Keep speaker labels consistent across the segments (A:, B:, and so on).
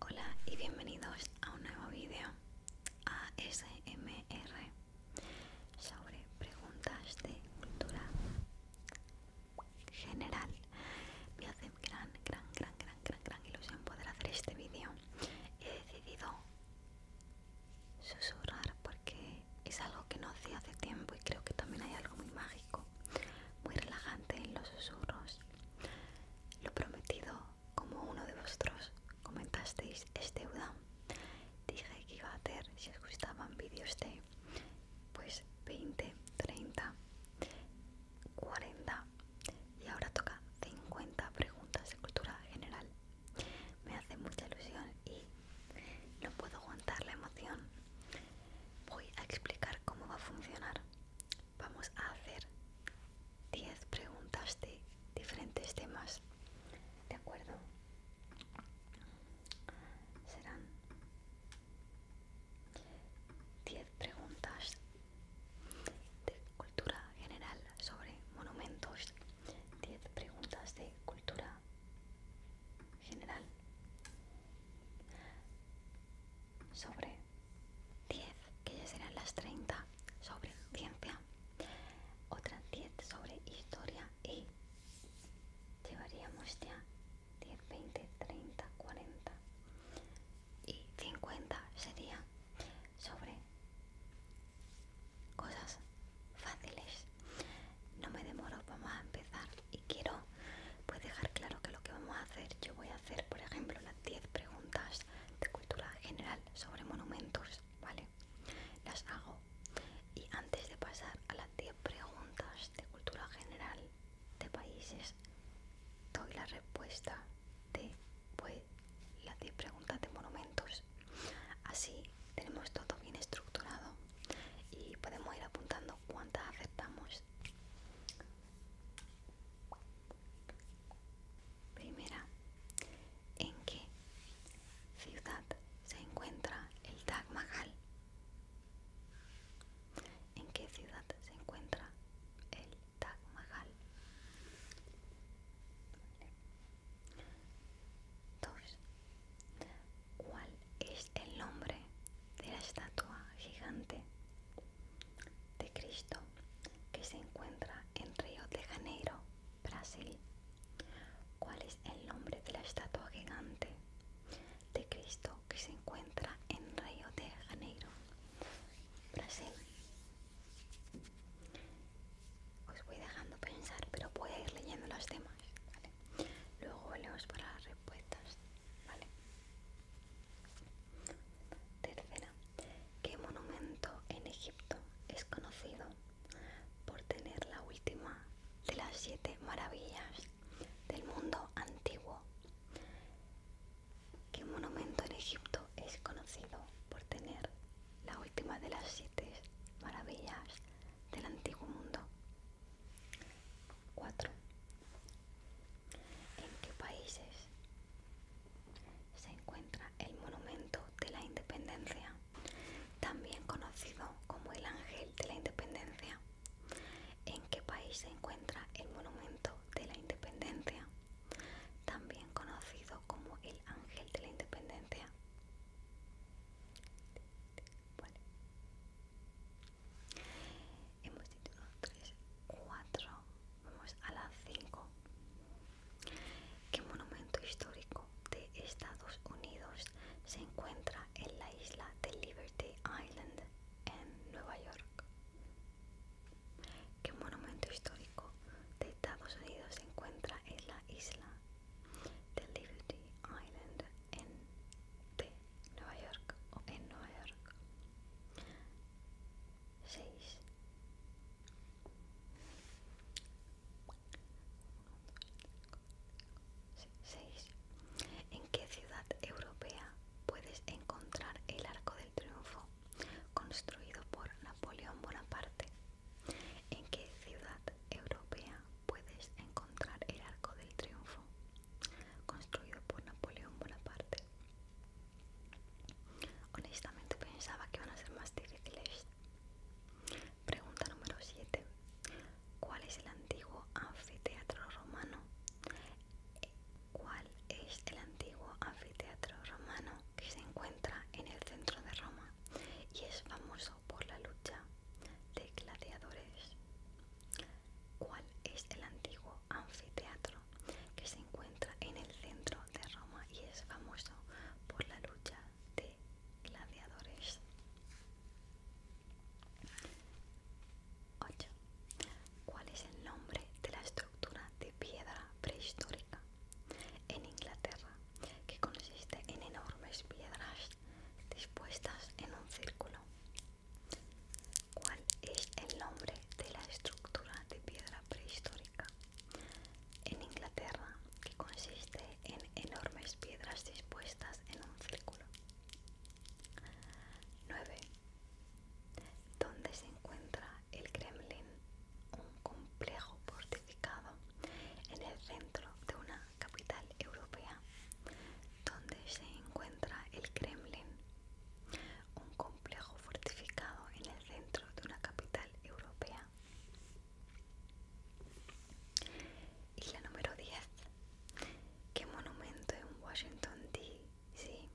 A: Hola y bienvenidos a un nuevo vídeo ASMR sobre preguntas de cultura general. Me hace gran, gran, gran, gran, gran, gran ilusión poder hacer este vídeo. He decidido susurrar porque es algo que no hacía hace tiempo y creo que también hay algo muy mágico, muy relajante en los susurros. Lo prometido, como uno de vosotros comentasteis, es deuda. Dije que iba a hacer, si os gustaban vídeos de pues 20, 30, 40 y ahora toca 50 preguntas de cultura general. Me hace mucha ilusión y no puedo aguantar la emoción. Voy a explicar cómo va a funcionar. Vamos a hacer 10 preguntas de diferentes temas. ¿De acuerdo? Serán 10 preguntas de cultura general sobre monumentos, 10 preguntas de cultura general sobre 10 que ya serán las 30 sobre ciencia otras 10 sobre historia y llevaríamos ya 10 20 30 40 y 50 sería sobre cosas fáciles no me demoro vamos a empezar y quiero pues dejar claro que lo que vamos a hacer yo voy a hacer por ejemplo las 10 preguntas de cultura general sobre monumentos vale las hago y antes de pasar a las 10 preguntas de cultura general de países doy la respuesta de pues, las 10 preguntas de monumentos así tenemos todo bien estructurado y podemos ir apuntando cuántas aceptamos. Primera, ¿en qué ciudad se encuentra el Taj Mahal? ¿En qué ciudad se encuentra el Taj Mahal? 2. ¿Cuál es el nombre de la estatua gigante de Cristo que se encuentra en Río de Janeiro, Brasil? ¿Cuál es el nombre de la estatua gigante de Cristo que se encuentra en Río de Janeiro, Brasil? Os voy dejando pensar, pero voy a ir leyendo los temas, Luego volvemos para las respuestas, Tercera, ¿qué monumento en Egipto es conocido por tener la última de las siete maravillas del mundo antiguo? ¿Qué monumento en Egipto es conocido por tener la última de las siete maravillas del antiguo mundo? 4. ¿En qué países se encuentra el Monumento de la Independencia, también conocido como el Ángel de la Independencia? ¿En qué país se encuentra el Monumento de la Independencia, también conocido como el Ángel de la Independencia? Hemos dicho 3, 4, vamos a la 5. ¿Qué monumento histórico de Estados Unidos se encuentra en la isla de Liberty Island en Nueva York? ¿Qué monumento histórico de Estados Unidos se encuentra en la isla de Liberty Island en Nueva York o en Nueva York. 6. ¿En qué ciudad europea puedes encontrar el Arco del Triunfo construido por Napoleón Bonaparte? ¿En qué ciudad europea puedes encontrar el Arco del Triunfo, construido por Napoleón Bonaparte. Honestamente pensaba que iban a ser más difíciles. Pregunta número 7. ¿Cuál es el antiguo anfiteatro romano? ¿Cuál es el antiguo anfiteatro romano que se encuentra en el centro de Roma y es famoso por la lucha de gladiadores, ¿cuál es el antiguo anfiteatro que se encuentra en el centro de Roma y es famoso por la lucha de gladiadores. 8. ¿Cuál es el nombre de la estructura de piedra prehistórica en Inglaterra que consiste en enormes piedras dispuestas en un círculo. ¿Cuál es el nombre de la estructura de piedra prehistórica? En Inglaterra, que consiste en enormes piedras dispuestas en un círculo. 9. ¿Dónde se encuentra el Kremlin? Un complejo fortificado en el centro de una capital europea, donde se encuentra el Kremlin, un complejo fortificado en el centro de una capital europea. Y la número 10. ¿Qué monumento en Washington D.C.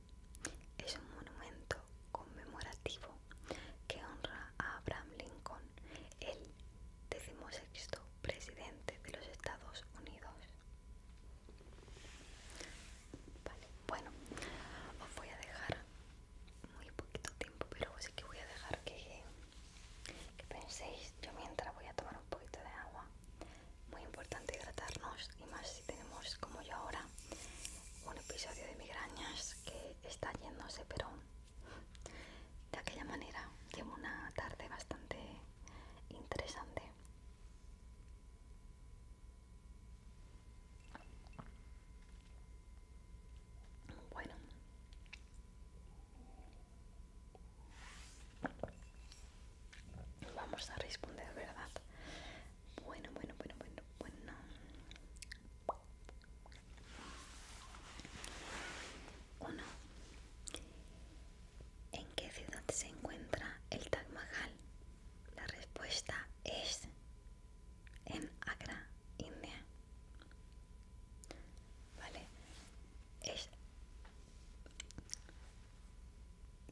A: es un monumento conmemorativo que honra a Abraham Lincoln, el decimosexto presidente de los Estados Unidos. Vale, bueno, os voy a dejar muy poquito tiempo, pero así que voy a dejar que, que penséis. Yo mientras voy a tomar un poquito de agua. Muy importante hidratarnos y más si tenemos como yo ahora un episodio de migrañas que está yéndose, pero de aquella manera llevo una tarde bastante interesante. Bueno. Vamos a responder, ¿verdad? Bueno, bueno, bueno, bueno, bueno. 1. ¿En qué ciudad se encuentra el Taj Mahal? La respuesta es en Agra, India. Vale, es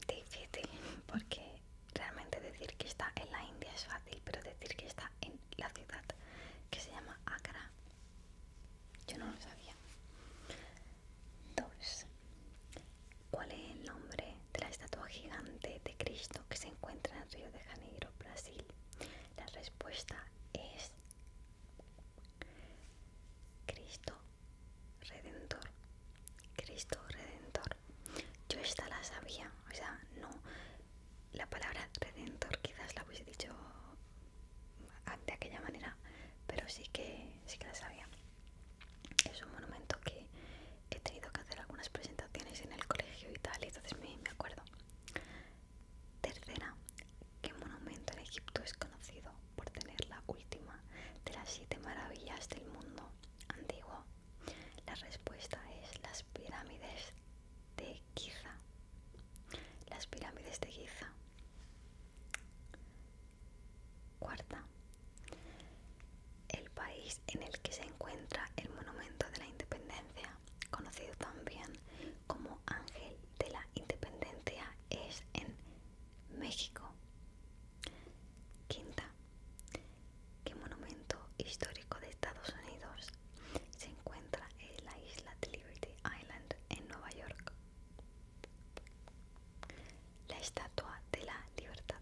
A: difícil porque realmente decir que está en la India es fácil, pero decir que está en la ciudad que se llama Agra yo no lo sabía. 2. ¿Cuál es el nombre de la estatua gigante de Cristo que se encuentra en Río de Janeiro, Brasil? La respuesta es Cristo Redentor. Cristo Redentor. Yo esta la sabía, o sea, no, la palabra redentor quizás la hubiese dicho de aquella manera, pero sí que, sí que la sabía. Es un monumento que he tenido que hacer algunas presentaciones en el colegio y tal, y entonces me, me acuerdo. Tercera, ¿qué monumento en Egipto es conocido por tener la última de las siete maravillas del mundo antiguo? La respuesta es las pirámides de Giza. Las pirámides de Giza. Cuarta. El país en el que se encuentra el Monumento de la Independencia, conocido también como Ángel de la Independencia, es en México. Quinta. ¿Qué monumento histórico de Estados Unidos se encuentra en la isla de Liberty Island en Nueva York. La Estatua de la Libertad.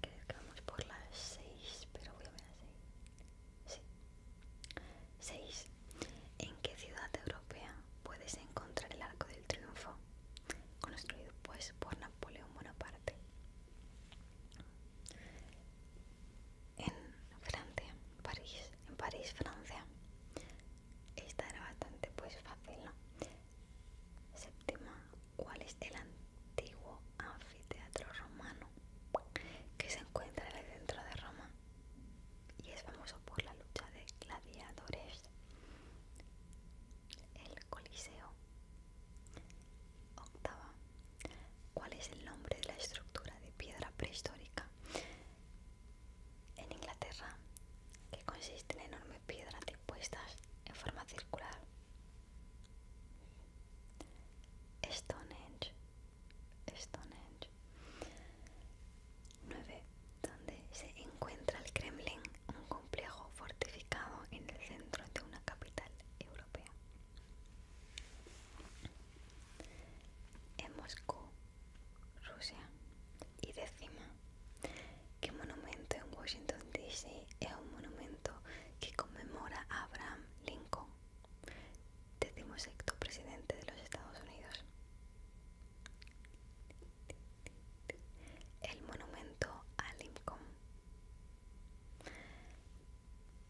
A: Creo que vamos por las 6, pero voy a ver las 6. Sí. 6. ¿En qué ciudad europea puedes encontrar el Arco del Triunfo? Construido pues por Napoleón Bonaparte en Francia, París, en París, Francia. Esta era bastante pues fácil, ¿no? Séptima, ¿cuál es el antiguo anfiteatro romano que se encuentra en el centro de Roma y es famoso por la lucha de gladiadores? El Coliseo. Octava, ¿Cuál es el nombre de la estructura de piedra prehistórica en Inglaterra que consiste en enormes piedras dispuestas en forma circular? Stonehenge. Stonehenge. 9. Donde se encuentra el Kremlin, un complejo fortificado en el centro de una capital europea en Moscú, Rusia. Y décima, que monumento en Washington DC es un monumento que conmemora a Abraham Lincoln, sexto presidente de los Estados Unidos. El monumento a Lincoln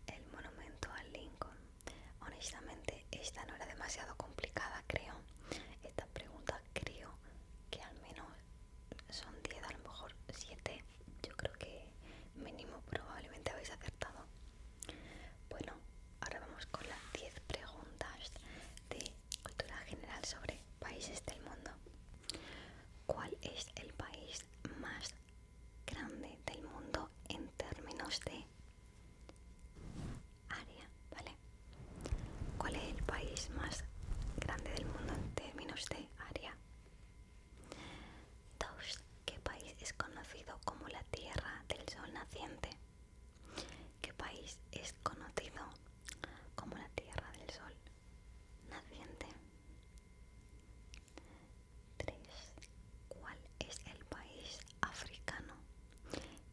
A: el monumento a Lincoln. Honestamente, esta no era demasiado complicada, creo. esta pregunta creo que al menos son 10, a lo mejor 7. Yo creo que mínimo probablemente habéis acertado. Bueno, ahora vamos con las 10 preguntas de cultura general sobre países del mundo. ¿Cuál es el país más grande del mundo en términos de área, ¿vale? ¿Cuál es el país más grande del mundo en términos de área? 2. ¿Qué país es conocido como la Tierra del Sol Naciente? ¿Qué país es conocido como la Tierra del Sol Naciente? 3. ¿Cuál es el país africano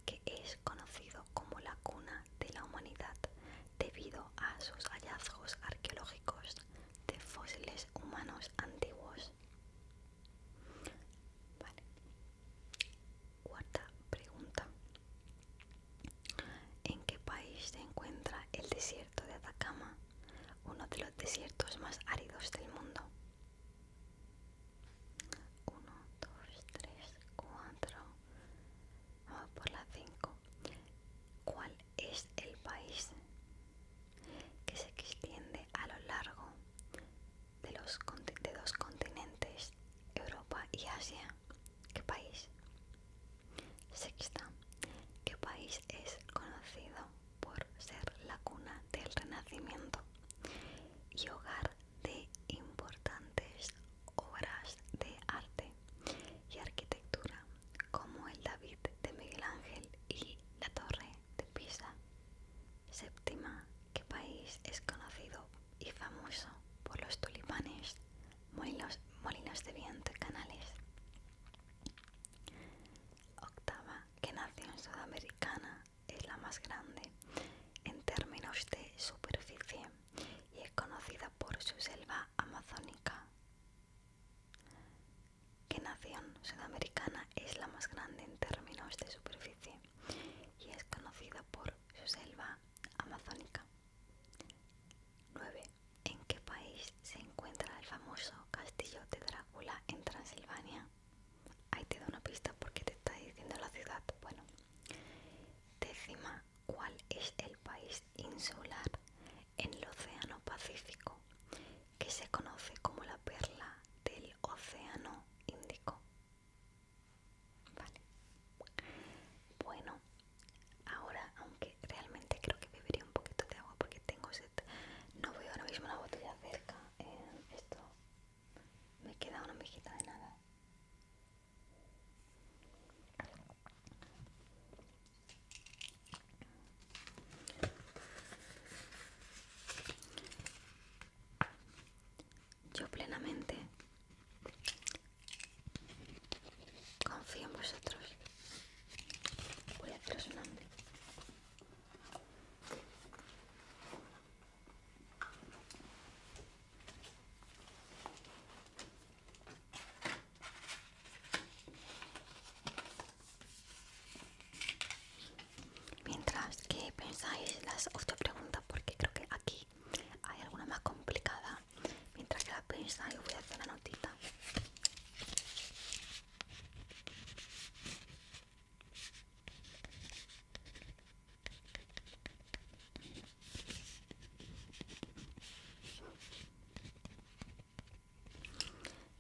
A: que es conocido como la cuna de la humanidad debido a sus hallazgos arqueológicos de fósiles humanos antiguos? Cuarta pregunta. ¿En qué país se encuentra el desierto de Atacama? uno de los desiertos más áridos del mundo. 1, 2, tres, cuatro, vamos por la 5. ¿Cuál es el país que se extiende a lo largo de, los, de dos continentes, Europa y Asia? ¿Qué país? Sexta, ¿qué país es conocido por ser la cuna del Renacimiento y hogar de importantes obras de arte y arquitectura como el David de Miguel Ángel y la Torre de Pisa. Séptima, que país es conocido y famoso por los tulipanes, molinos, molinos de viento y canales? octava, que nación sudamericana, es la más grande en términos de superficie y es conocida por su selva amazónica. ¿Qué nación sudamericana es la más grande en términos de superficie y es conocida por su selva amazónica? 9 en qué país se encuentra el famoso castillo de Drácula en Transilvania. Ahí te da una pista porque te está diciendo la ciudad. Bueno, décima, ¿cuál es el país insular en el Océano Pacífico que se conoce como la perla del Océano Índico? Vale. Bueno, ahora aunque realmente creo que bebería un poquito de agua porque tengo sed. No veo ahora mismo la botella cerca. Eh, esto me queda una mejita de nada. Yo plenamente confío en vosotros. Voy a hacer un nombre Mientras que pensáis las preguntas porque creo que aquí hay alguna más complicada. Mientras que la pensáis, voy a hacer una notita.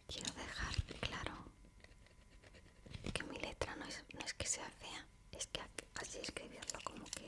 A: Quiero dejar claro que mi letra no es, no es que sea fea, es que así escribirlo como que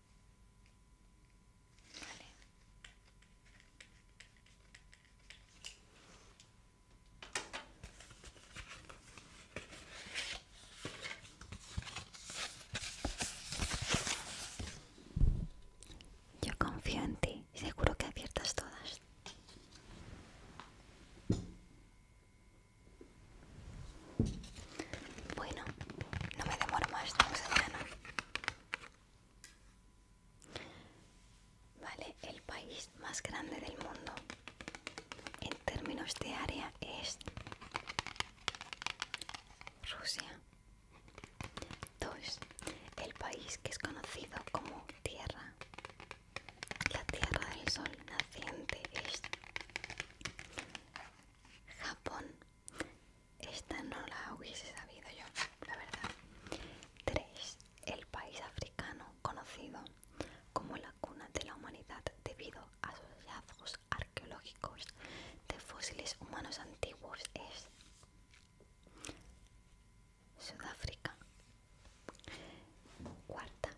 A: Yo confío en ti, seguro que aciertas todas. Bueno, no me demoro más, hasta mañana. Vale, el país más grande del mundo en términos de área es Rusia. 2. El país que es conocido como Tierra. La Tierra del Sol naciente es Japón. Esta no la hubiese sabido yo, la verdad. 3. El país africano conocido como la cuna de la humanidad debido a sus hallazgos arqueológicos de fósiles humanos antiguos es Sudáfrica. Cuarta,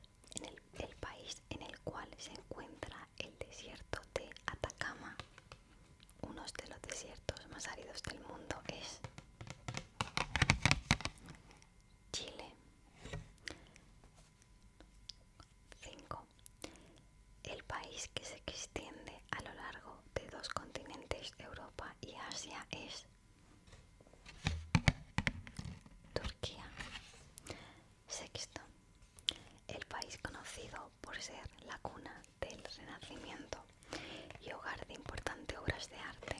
A: el país en el cual se encuentra el desierto de Atacama uno de los desiertos más áridos del mundo es Chile. 5. El país que se extiende a lo largo de dos continentes, Europa y Asia, es Turquía. Sexto. El país conocido por ser la cuna del Renacimiento y hogar de importantes obras de arte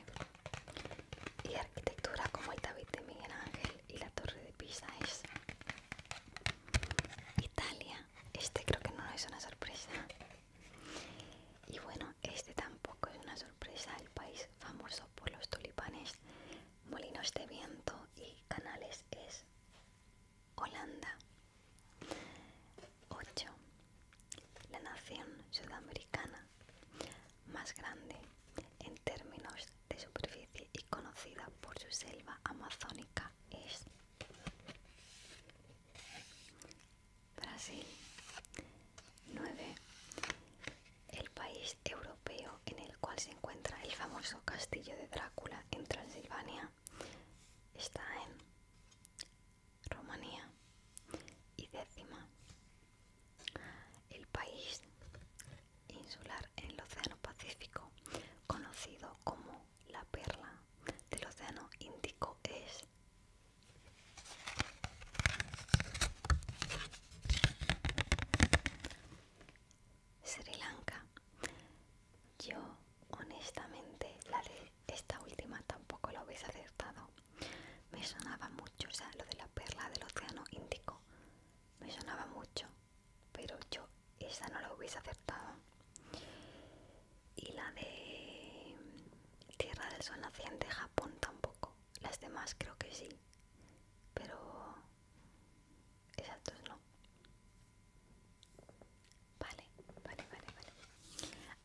A: y arquitectura como el David de Miguel Ángel y la Torre de Pisa es Italia. Este creo que no es una sorpresa. Y bueno, este tampoco es una sorpresa, el país famoso por los tulipanes, molinos de viento y canales es Holanda. 8. La nación sudamericana más grande en términos de superficie y conocida por su selva amazónica es Brasil. 9. El país europeo en el cual se encuentra el famoso castillo de Drácula en Transilvania está en Rumanía y décima el país insular en el Océano Pacífico conocido como la perla del Océano Índico es Sri Lanka. Yo, honestamente, la de esta última tampoco la hubiese acertado. Me sonaba mucho, o sea, lo de la perla del océano Índico. Me sonaba mucho, pero yo esa no la hubiese acertado. Y la de Tierra del Sol naciente, Japón tampoco. Las demás creo que sí, pero esas dos no. Vale, vale, vale, vale.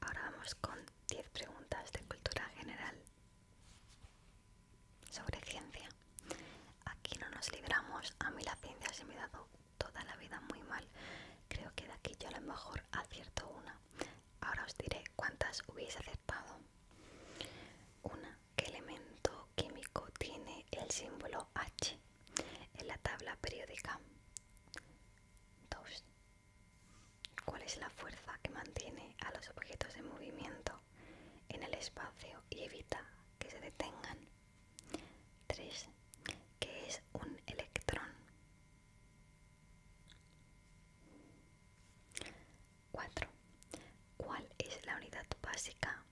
A: Ahora vamos con 10 preguntas de cultura general sobre ciencia. Aquí no nos libramos. A mí la ciencia se me ha dado toda la vida muy mal. Creo que de aquí yo a lo mejor acierto una. Ahora os diré cuántas hubiese acertado. Una, ¿qué elemento químico tiene el símbolo H en la tabla periódica? 2. ¿Cuál es la fuerza que mantiene a los objetos en movimiento en el espacio y evita que se detengan? 3. ¿Qué es un electrón? 4. ¿Cuál es la unidad básica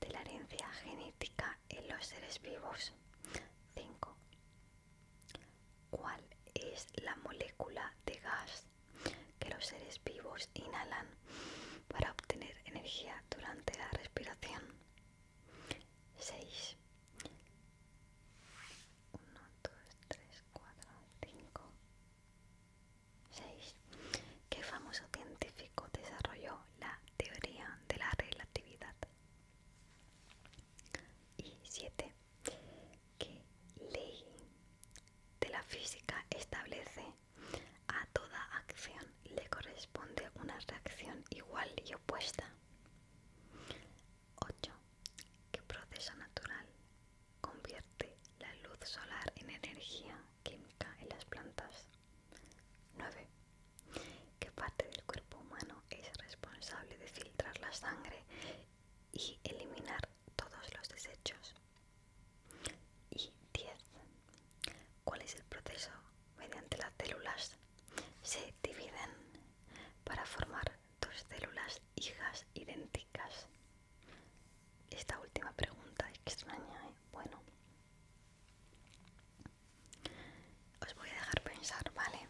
A: de la herencia genética en los seres vivos. 5. ¿Cuál es la molécula de gas que los seres vivos inhalan para obtener energía durante la respiración? 6. 1, 2, 3, 4, 5, 6. ¿Qué famoso científico desarrolló la teoría de la relatividad. Y 7. Que ley de la física establece a toda acción le corresponde una reacción igual y opuesta? 8. Que proceso natural convierte la luz solar en energía química en las plantas? 9. ¿Qué parte del cuerpo humano es responsable de filtrar la sangre y eliminar todos los desechos? Y 10. ¿Cuál es el proceso mediante las células? Se dividen para formar dos células hijas idénticas. Esta última pregunta es extraña, ¿eh? bueno, os voy a dejar pensar, ¿vale?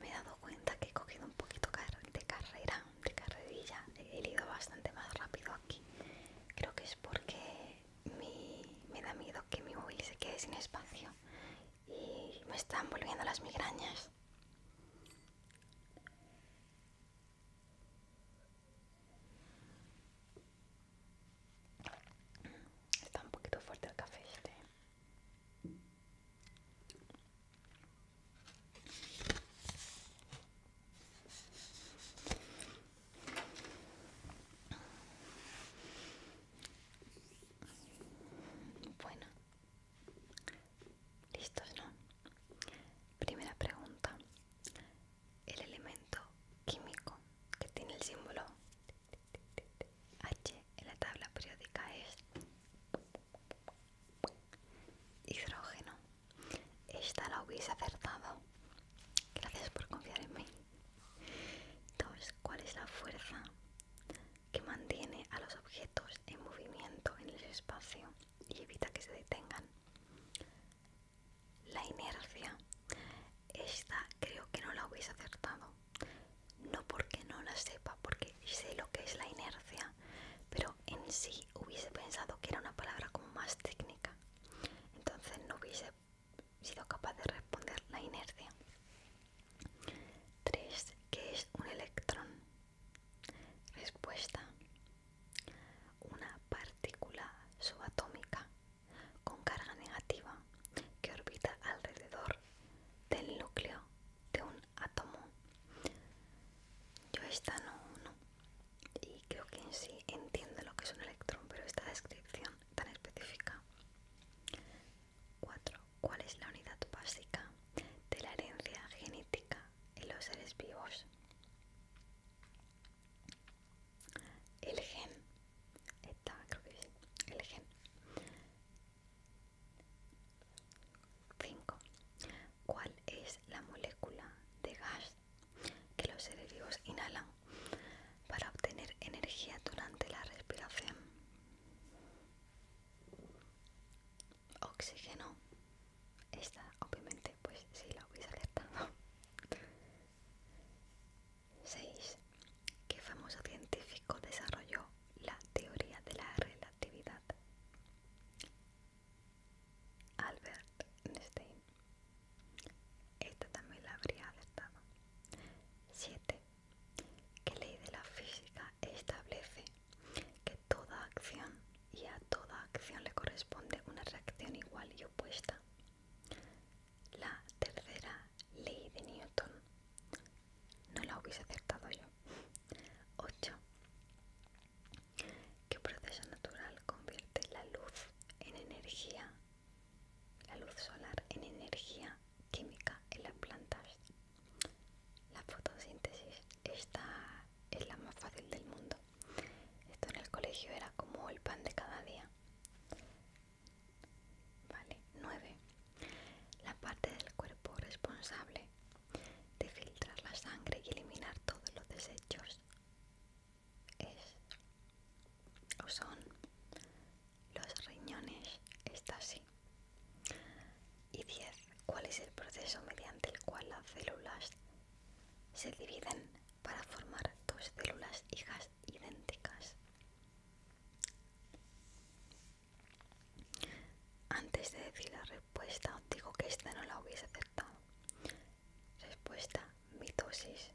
A: Me he dado cuenta que he cogido un poquito de carrera, de carrerilla, he ido bastante más rápido aquí. Creo que es porque me da miedo que mi móvil se quede sin espacio y me están volviendo las migrañas. Está un poquito fuerte el café este. Bueno, listos, ¿no? Primera pregunta el elemento químico que tiene el símbolo H en la tabla periódica es hidrógeno. Esta la hubiese acertado. Gracias por confiar en mí. Entonces, ¿cuál es la fuerza que mantiene a los objetos en movimiento en el espacio y evita que se detengan? la inercia. Esta creo que no la hubiese acertado. No porque no la sepa, porque sé lo que es la inercia, pero en sí hubiese pensado que era una palabra como más técnica. Entonces no hubiese sido capaz de responder la inercia. 3. ¿Qué es un electrón? Respuesta una partícula subatómica con carga negativa que orbita alrededor del núcleo de un átomo. Yo esta no, no, y creo que en sí entiendo lo que es un electrón, pero esta descripción tan específica. 4. ¿Cuál es la unidad básica de la herencia genética en los seres vivos? el gen creo que el gen 5 cuál es la molécula de gas que los seres vivos inhalan para obtener energía durante la respiración oxígeno esta obviamente pues sí, la hubiese alertado. 6. ¿Qué famoso científico desarrolló la teoría de la relatividad? Albert Einstein. Esta también la habría alertado. 7. ¿Qué ley de la física establece que toda acción y a toda acción le corresponde una reacción igual y opuesta. La tercera ley de Newton. No la hubiese acertado yo. 8. ¿Qué proceso natural convierte la luz en energía? La luz solar en energía química en las plantas. La fotosíntesis. Esta es la más fácil del mundo. Esto en el colegio era como el pan de cada día. Vale, 9. La parte del cuerpo responsable de filtrar la sangre y eliminar todos los desechos es o son los riñones, está así Y 10. ¿Cuál es el proceso mediante el cual las células se dividen para formar dos células hijas idénticas. Antes de decir la respuesta, digo que esta no la hubiese aceptado. Respuesta, mitosis.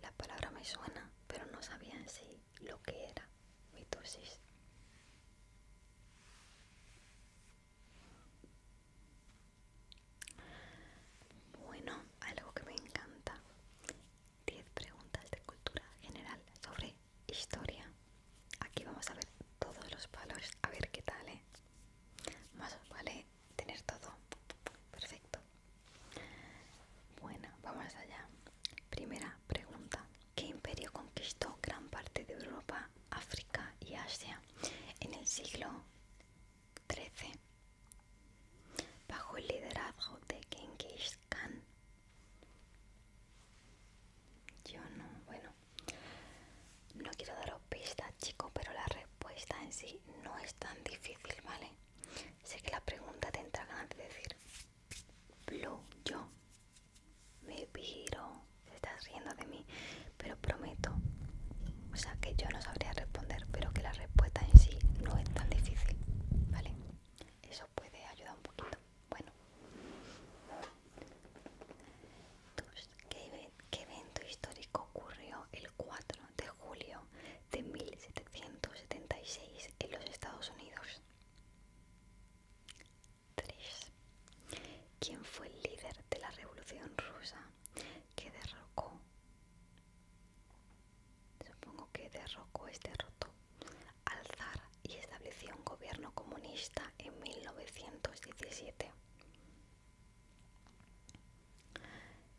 A: La palabra me suena, pero no sabía en sí lo que era mitosis. Bueno, algo que me encanta. 10 preguntas de cultura general sobre historia. Aquí vamos a ver todos los palos, a ver qué tal, ¿eh? Más vale tener todo. Perfecto. Bueno, vamos allá. Primera pregunta. ¿Qué imperio conquistó gran parte de Europa, África y Asia en el siglo 13. Bajo el liderazgo de Genghis Khan. Yo no, bueno, no quiero daros pistas, chicos, pero la respuesta en sí no es tan difícil, ¿vale? Sé que la pregunta te entra ganas de decir, Blue, yo me viro. Se estás riendo de mí, pero prometo, o sea, que yo no sabría responder, pero que la respuesta en sí no es tan difícil, ¿vale? Eso puede ayudar un poquito. Bueno, ¿qué evento histórico ocurrió el 4 de julio de 1776 en los Estados Unidos? 3 quién fue el líder de la revolución rusa que derrocó, supongo que derrocó es derrotó, al zar y estableció un gobierno comunista en 1917.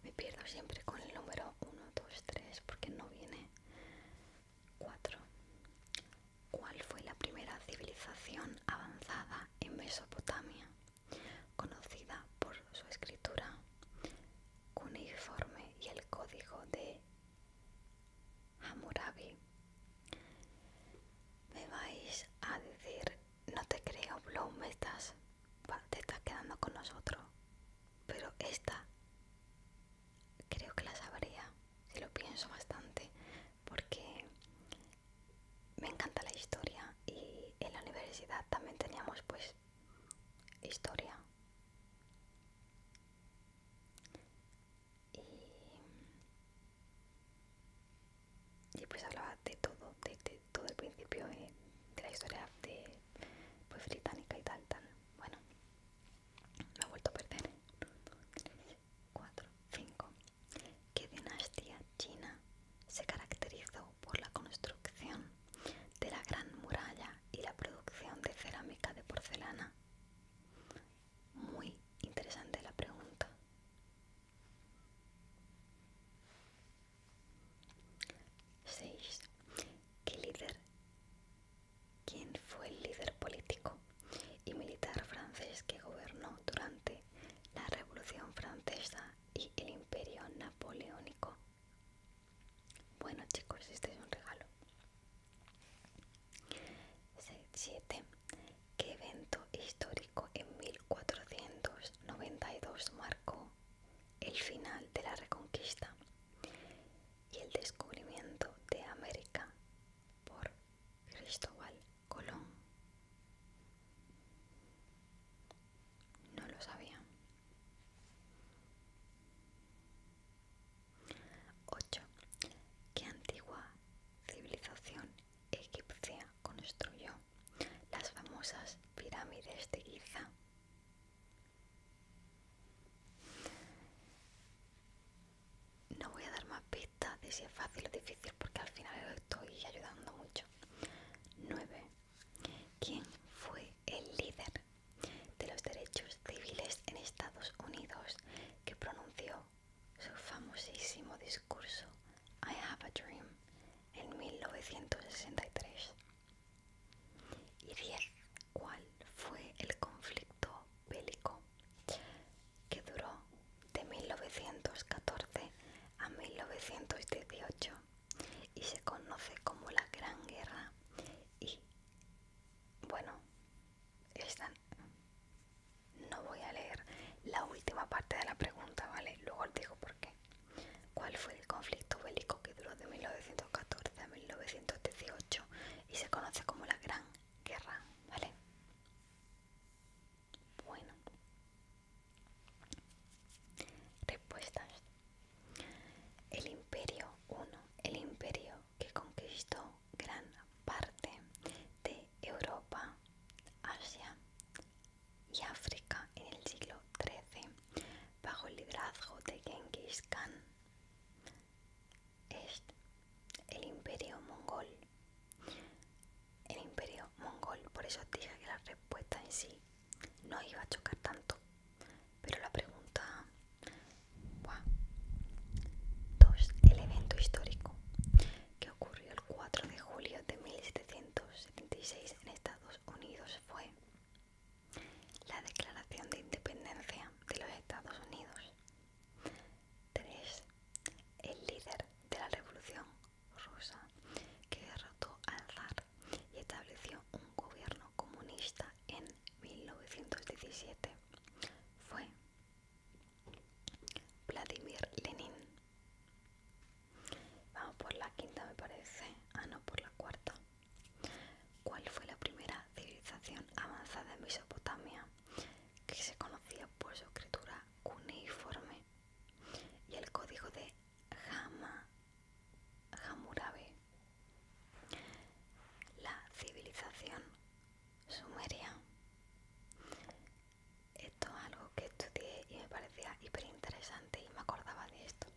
A: Me pierdo siempre con el número 1, 2, 3 porque no viene 4. ¿Cuál fue la primera civilización avanzada en Mesopotamia? conocida por su escritura cuneiforme y el código de Hammurabi. Me vais a decir, no te creo, Bloom, estás, te estás quedando con nosotros, pero esta creo que la sabría, si lo pienso bastante, porque me encanta la historia y en la universidad también teníamos pues historia y, y pues hablaba de todo, de, todo el principio eh, de la historia de pues británica y tal, tal, bueno me he vuelto a perder cuatro, cinco ¿Qué dinastía china se caracterizó por la construcción de la gran muralla y la producción de cerámica de porcelana? Muy interesante la pregunta. 6. líder? ¿Quién fue el líder político y militar francés que gobernó durante la Revolución Francesa y el Imperio Napoleónico. Bueno chicos, este es un regalo. 7. ¿Qué evento histórico en 1492 marcó el final de la Reconquista y el descubrimiento de América por Cristóbal Colón. No lo sabía. 8. ¿Qué antigua civilización egipcia construyó las famosas pirámides de Giza? No voy a dar más pistas si es fácil o difícil porque al final estoy ayudando mucho. 9. ¿Quién fue el líder de los derechos civiles en Estados Unidos que pronunció su famosísimo discurso I Have a Dream en 1963? Y 10. ¿Cuál fue el conflicto bélico que duró de 1914 a 1918 y se conoce como la Gran Guerra y bueno, esta no voy a leer la última parte de la pregunta, ¿vale? Luego os digo por qué. ¿Cuál fue el conflicto bélico que duró de 1914 a 1918 y se conoce como la Gran Guerra, ¿vale? Bueno. Respuestas. El imperio I, El imperio que conquistó gran parte de Europa, Asia y África en el siglo XIII bajo el liderazgo de Genghis Khan. Es el imperio mongol el imperio mongol. Por eso dije que la respuesta en sí no iba a chocar tanto. Pero la pregunta... 2. el evento histórico que ocurrió el 4 de julio de 1776 en Estados Unidos fue la declaración de independencia de los Estados Unidos. 3. El líder de la revolución rusa que derrotó al zar y estableció un gobierno comunista en 1917 fue Vladimir Lenin. Vamos por la quinta me parece, ah no, por la cuarta. ¿Cuál fue la primera civilización avanzada en Mesopotamia que se conocía por su escritura cuneiforme? y el código de Hama, Hammurabi. La civilización sumeria. Esto es algo que estudié y me parecía hiper interesante y me acordaba de esto.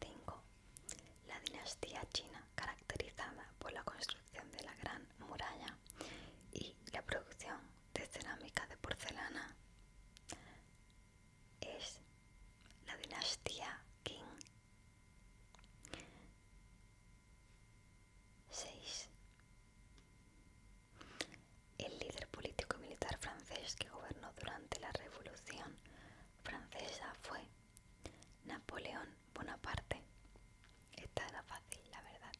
A: 5. La dinastía china, caracterizada por la construcción de la gran muralla y la producción de cerámica de porcelana es la dinastía King 6. El líder político y militar francés que gobernó durante la Revolución Francesa fue Napoleón Bonaparte. Esta era fácil, la verdad.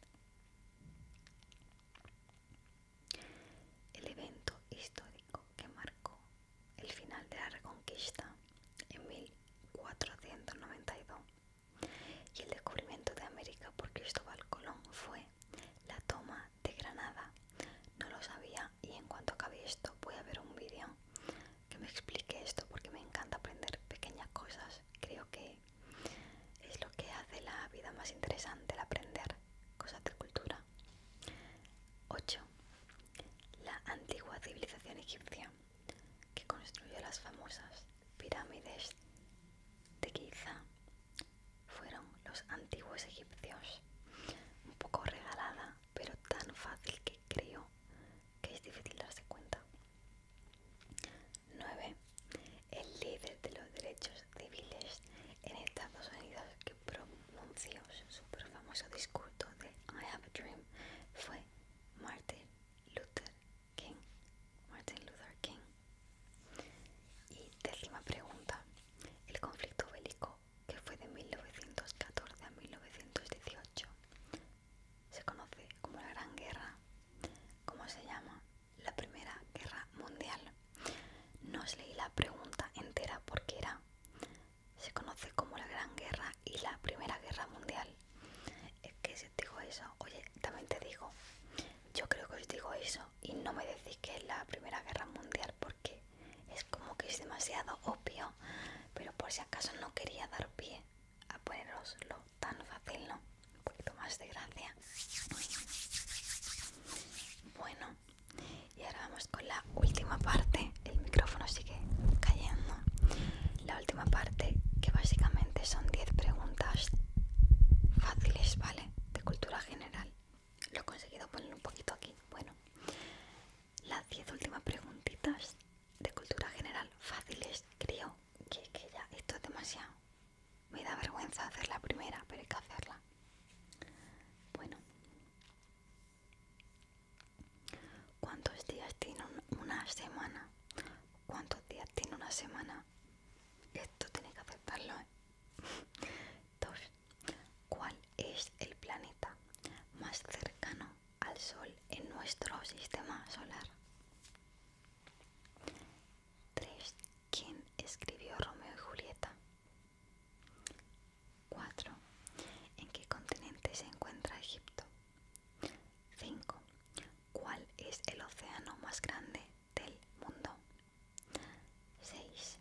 A: El evento histórico que marcó el final de la Reconquista en 1492 y el descubrimiento de América por Cristóbal Colón fue la toma de Granada. No lo sabía y en cuanto acabe esto voy a ver un vídeo que me explique esto porque me encanta aprender pequeñas cosas. Creo que es lo que hace la vida más interesante, el aprender cosas de cultura. 8. La antigua civilización egipcia, que construyó las famosas pirámides de Giza, fueron los antiguos egipcios. Un poco regalada, pero tan fácil que creo que es difícil darse cuenta. 9. El líder de los derechos civiles en Estados Unidos que pronunció su famoso discurso de I Have a Dream fue Martin Luther King. Martin Luther King. Y décima pregunta. El conflicto bélico que fue de 1914 a 1918 se conoce como la Gran Guerra, como se llama la Primera Guerra Mundial. No os leí la pregunta entera porque era, se conoce como la Gran Guerra y la Primera Guerra Mundial. Es que si os digo eso, oye, también te digo, yo creo que os digo eso y no me decís que es la Primera Guerra Mundial porque es como que es demasiado obvio, pero por si acaso no quería dar pie a poneroslo tan fácil, ¿no? Un poquito más de gracia. Bueno, y ahora vamos con la última parte. El micrófono sigue cayendo. La última parte, que básicamente son 10 preguntas fáciles, ¿vale? De cultura general. Lo he conseguido poner un poquito aquí. Bueno, las 10 últimas preguntitas de cultura general fáciles, creo que, ya, esto es demasiado. Me da vergüenza hacer la primera, pero hay que hacerla. Bueno, ¿cuántos días tiene una semana? ¿Cuántos días tiene una semana? Esto tiene que aceptarlo. ¿eh? Dos. ¿Cuál es el planeta más cercano al Sol en nuestro sistema solar? 3. ¿Quién escribió Romeo y Julieta? 4. ¿En qué continente se encuentra Egipto? 5. ¿Cuál es el océano más grande del mundo? 6.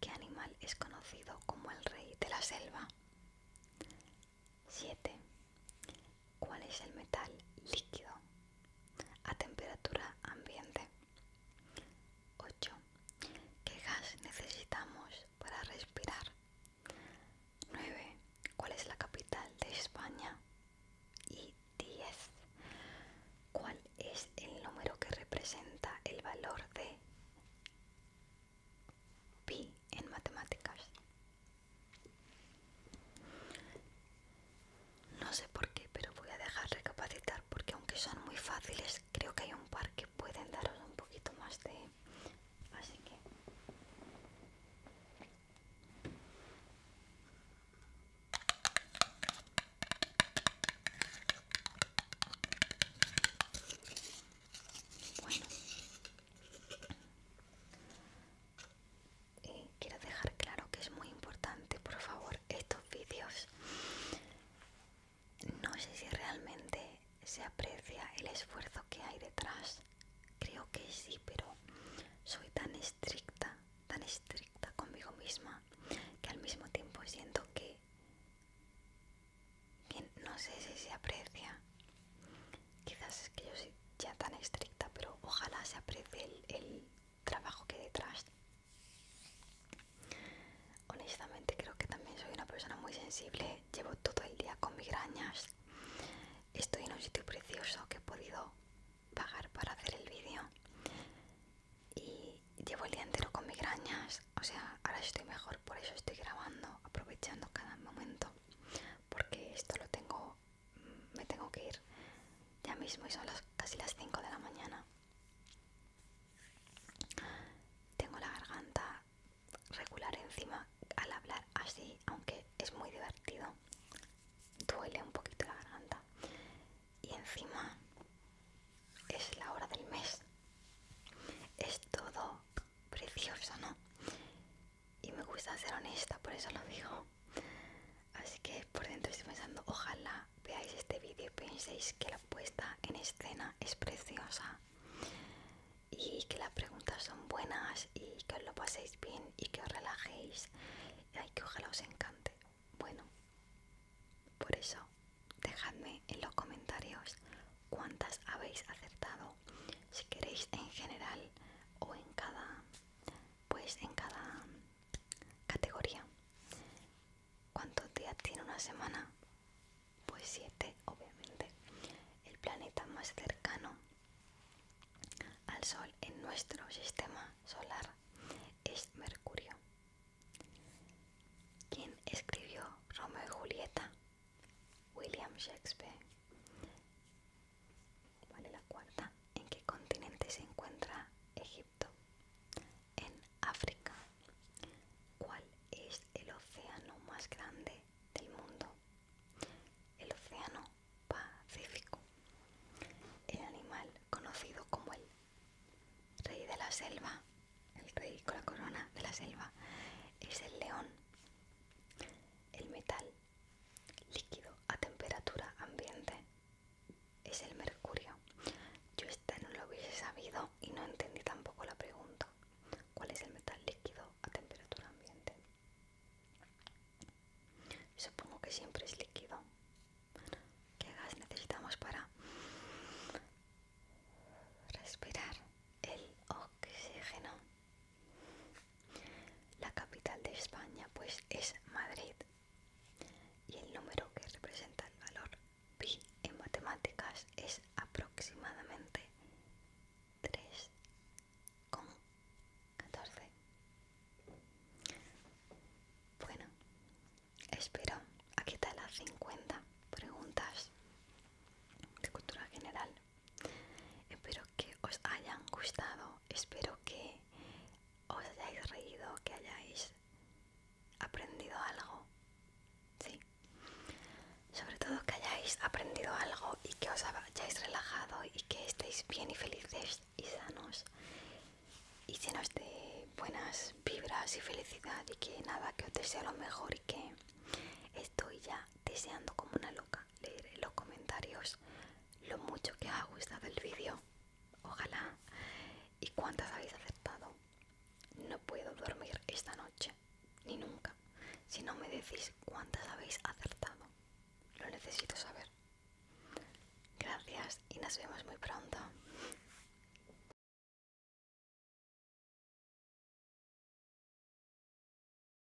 A: ¿Qué animal es conocido como el rey de la selva? 7. ¿Cuál es el metal líquido a temperatura ambiente? 8. ¿Qué gas necesitamos para respirar? 9. ¿Cuál es la capital de España? Y 10. ¿Cuál es el número que representa el valor de pi en matemáticas? No sé por qué, pero voy a dejar recapacitar porque aunque son muy fáciles, creo que hay un par que pueden daros un poquito más de... Así que... Bueno, eh, quiero dejar claro que es muy importante, por favor, estos vídeos. No sé si realmente se aprecia el esfuerzo que hay detrás. Creo que sí, pero soy tan estricta, tan estricta conmigo misma, que al mismo tiempo siento que, que no sé si se aprecia Quizás es que yo soy ya tan estricta, pero ojalá se aprecie el, trabajo que hay detrás. Honestamente creo que también soy una persona muy sensible, llevo todo el día con migrañas. Estoy en un sitio precioso que he podido pagar para hacer el vídeo y llevo el día entero con migrañas, o sea, ahora estoy mejor, por eso estoy grabando, aprovechando cada momento, porque esto lo tengo me tengo que ir ya mismo y son casi las 5 de la mañana. Tengo la garganta regular encima al hablar así, aunque es muy divertido. Duele un poquito la garganta. Y encima es la hora del mes. Es todo precioso, ¿no? y me gusta ser honesta, por eso lo digo. Así que por dentro estoy pensando, ojalá veáis este vídeo y penséis que la puesta en escena es preciosa y que las preguntas son buenas y que os lo paséis bien y que os relajéis y que ojalá os encante. Bueno, por eso dejadme en los comentarios cuántas habéis acertado, si queréis en general o en cada pues en cada categoría. ¿Cuántos días tiene una semana? Pues siete, obviamente. El planeta más cercano al Sol en nuestro sistema solar es Mercurio. ¿Quién escribió Romeo y Julieta? William Shakespeare es la cuarta. ¿En qué continente se encuentra Egipto? En África. ¿Cuál es el océano más grande del mundo? El océano Pacífico. El animal conocido como el rey de la selva, el rey con la corona de la selva, es el león. El metal líquido a temperatura ambiente es el mercurio. Yo esta no lo hubiese sabido y no entendí tampoco la pregunta. ¿Cuál es el metal líquido a temperatura ambiente? Supongo que siempre es líquido. ¿Qué gas necesitamos para respirar el oxígeno? La capital de España pues es Madrid y el número que representa el valor pi en matemáticas es aproximadamente 3,14. Bueno, espero. Aquí están las 50 preguntas de cultura general. Espero que os hayan gustado, espero que os hayáis reído, que hayáis aprendido algo. Sí. Sobre todo que hayáis aprendido algo y que os hayáis relajado y que estéis bien y felices y sanos y llenos de buenas vibras y felicidad y que nada, que os deseo lo mejor y que estoy ya deseando como una loca Leer en los comentarios lo mucho que ha gustado el vídeo ojalá y cuántas habéis acertado no puedo dormir esta noche ni nunca si no me decís cuántas habéis acertado lo necesito saber gracias y nos vemos muy pronto